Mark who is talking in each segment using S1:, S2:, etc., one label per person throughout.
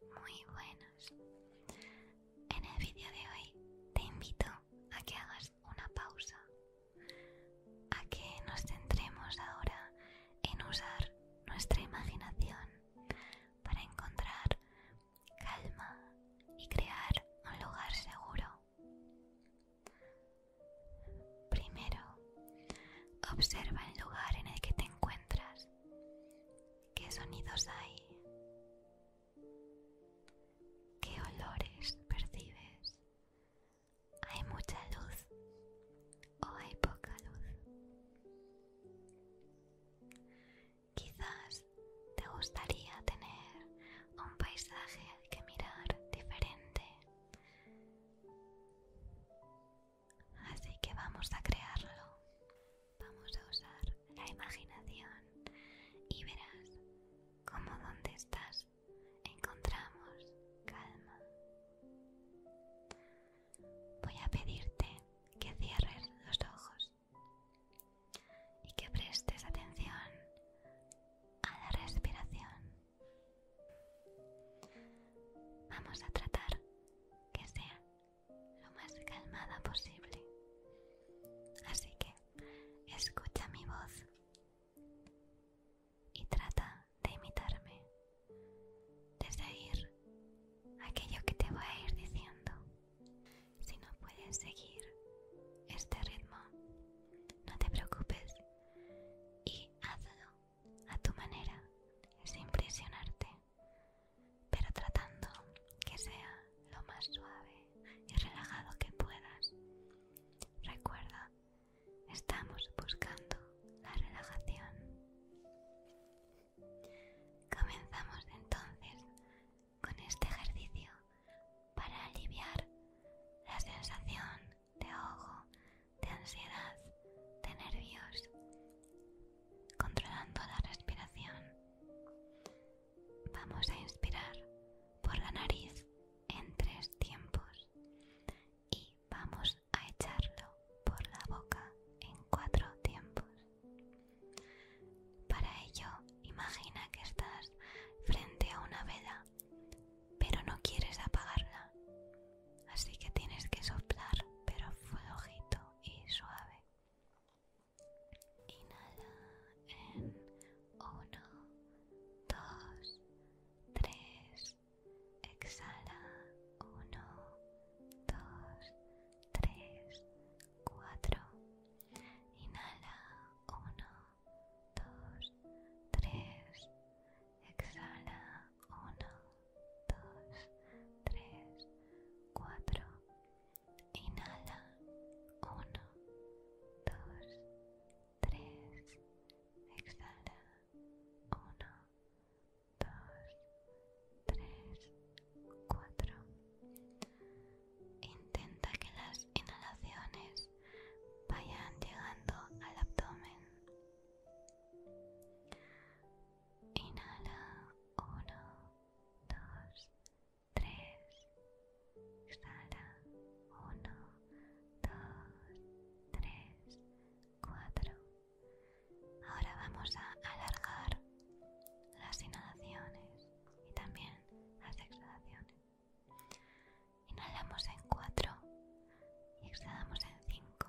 S1: muy buenos. En el vídeo de hoy te invito a que hagas una pausa, a que nos centremos ahora en usar nuestra imaginación para encontrar calma y crear un lugar seguro. Primero, observa el lugar en el que te encuentras. ¿Qué sonidos hay? ¿Qué olores percibes? ¿Hay mucha luz o hay poca luz? Quizás te gustaría tener un paisaje que mirar diferente. Así que vamos a crearlo. Vamos a usar la imaginación y verás como donde estás encontramos calma. Voy a pedirte que cierres los ojos y que prestes atención a la respiración. Vamos a tratar que sea lo más calmada posible. Así que escucha mi voz y trata de imitarme, de seguir aquello que te voy a ir diciendo. Si no puedes seguir este ritmo, no te preocupes y hazlo a tu manera, sin presionarte pero tratando que sea lo más suave y relajado que puedas. Recuerda, estamos buscando la relajación. Comenzamos entonces con este ejercicio para aliviar la sensación de ojo, de ansiedad, de nervios, controlando la respiración. Vamos a inspirar por la nariz en tres tiempos y vamos a echarlo por la boca en cuatro tiempos. Para ello, imagina que estás frente a una vela, pero no quieres apagarla, así que tienes que soplar, pero flojito y suave. Inhala en uno dos tres Exhala uno dos tres cuatro Inhala uno dos tres Exhala uno 2, 3, 4. Inhala. 1. 2, 3. Exhala. 1. 2, 3, 4. Intenta que las inhalaciones vayan llegando al abdomen. Inhala 1, 2, 3. Exhala 1, 2, 3, 4. Ahora vamos a alargar las inhalaciones y también las exhalaciones. Inhalamos en 4 y exhalamos en 5.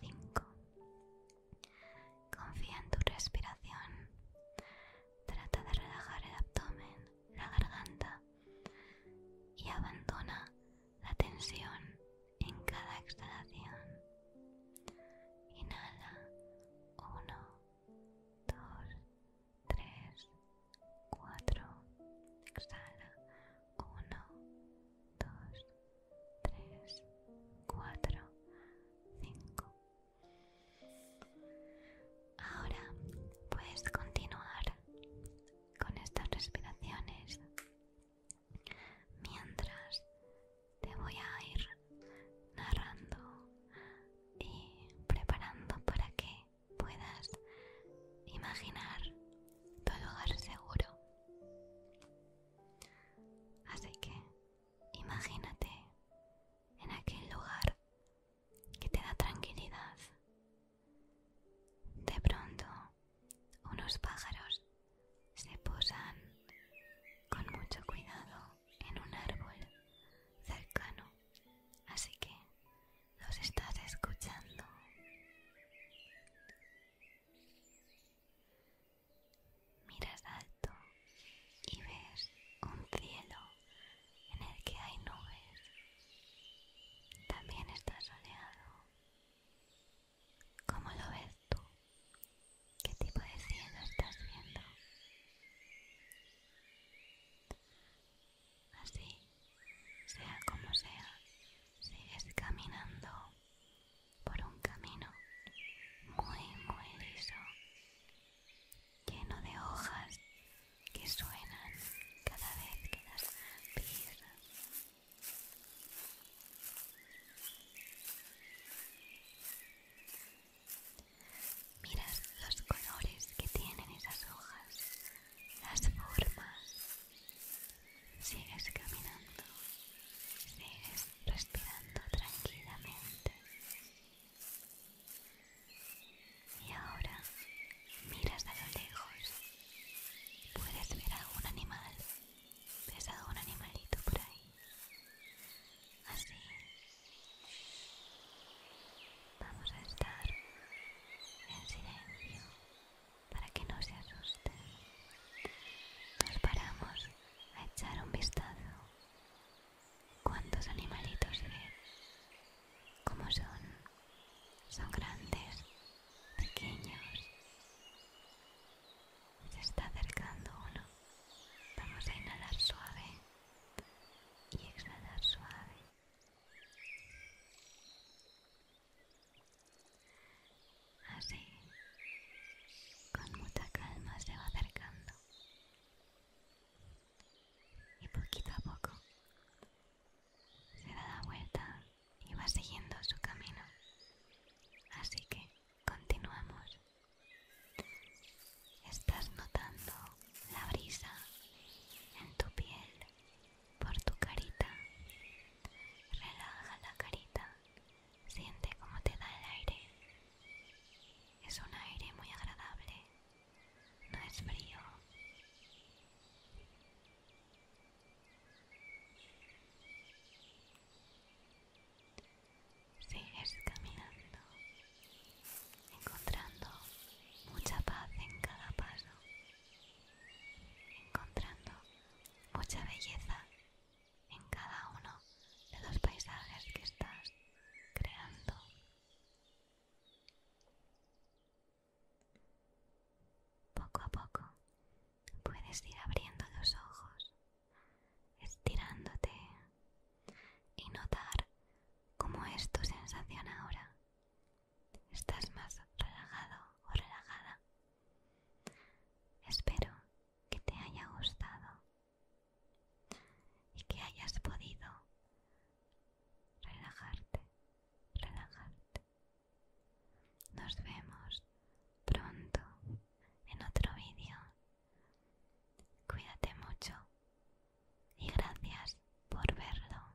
S1: 5. Confía en tu respiración. Trata de relajar el abdomen, la garganta y abandona la tensión en cada exhalación. Inhala. 1, 2, 3, 4. Exhala. 1, 2, 3, 4, 5. Ahora puedes continuar con estas respiraciones mientras te voy a ir narrando y preparando para que puedas imaginar tu lugar seguro. Así que imagínate en aquel lugar que te da tranquilidad. De pronto, unos pájaros se posan con mucho cuidado en un árbol cercano, así que los estás escuchando. Miras alto y ves un cielo en el que hay nubes. También está soleado. ¿Cómo lo ves tú? ¿Qué tipo de cielo estás viendo? Así, sea como sea, sigues caminando por un camino muy, muy liso, lleno de hojas que suenan cada vez que las pisas. Miras los colores que tienen esas hojas, las formas Sigues caminando, sigues respirando tranquilamente. Y ahora miras a lo lejos. Puedes ver algún animal. Ves algún animalito por ahí. Así. Vamos a estar en silencio para que no se asusten. Nos paramos a echar un vistazo. ¿Cuántos animalitos ves? ¿Cómo son? Son grandes, pequeños. Se está acercando uno. Vamos a inhalar suave y exhalar suave. Así, con mucha calma se va acercando. Y poquito a poco se da la vuelta y va siguiendo su camino. Así que continuamos. Estás notando la brisa en tu piel, por tu carita. Relaja la carita Siente cómo te da el aire. Es un aire muy agradable. No es frío. Sigues caminando, encontrando mucha paz en cada paso, encontrando mucha belleza en cada uno de los paisajes que estás creando. Poco a poco puedes ir abriendo los ojos, estirándote y notar cómo es tu sensación ahora. ¿Estás más relajado o relajada? Espero que te haya gustado y que hayas podido relajarte, relajarte. Nos vemos pronto en otro vídeo. Cuídate mucho y gracias por verlo.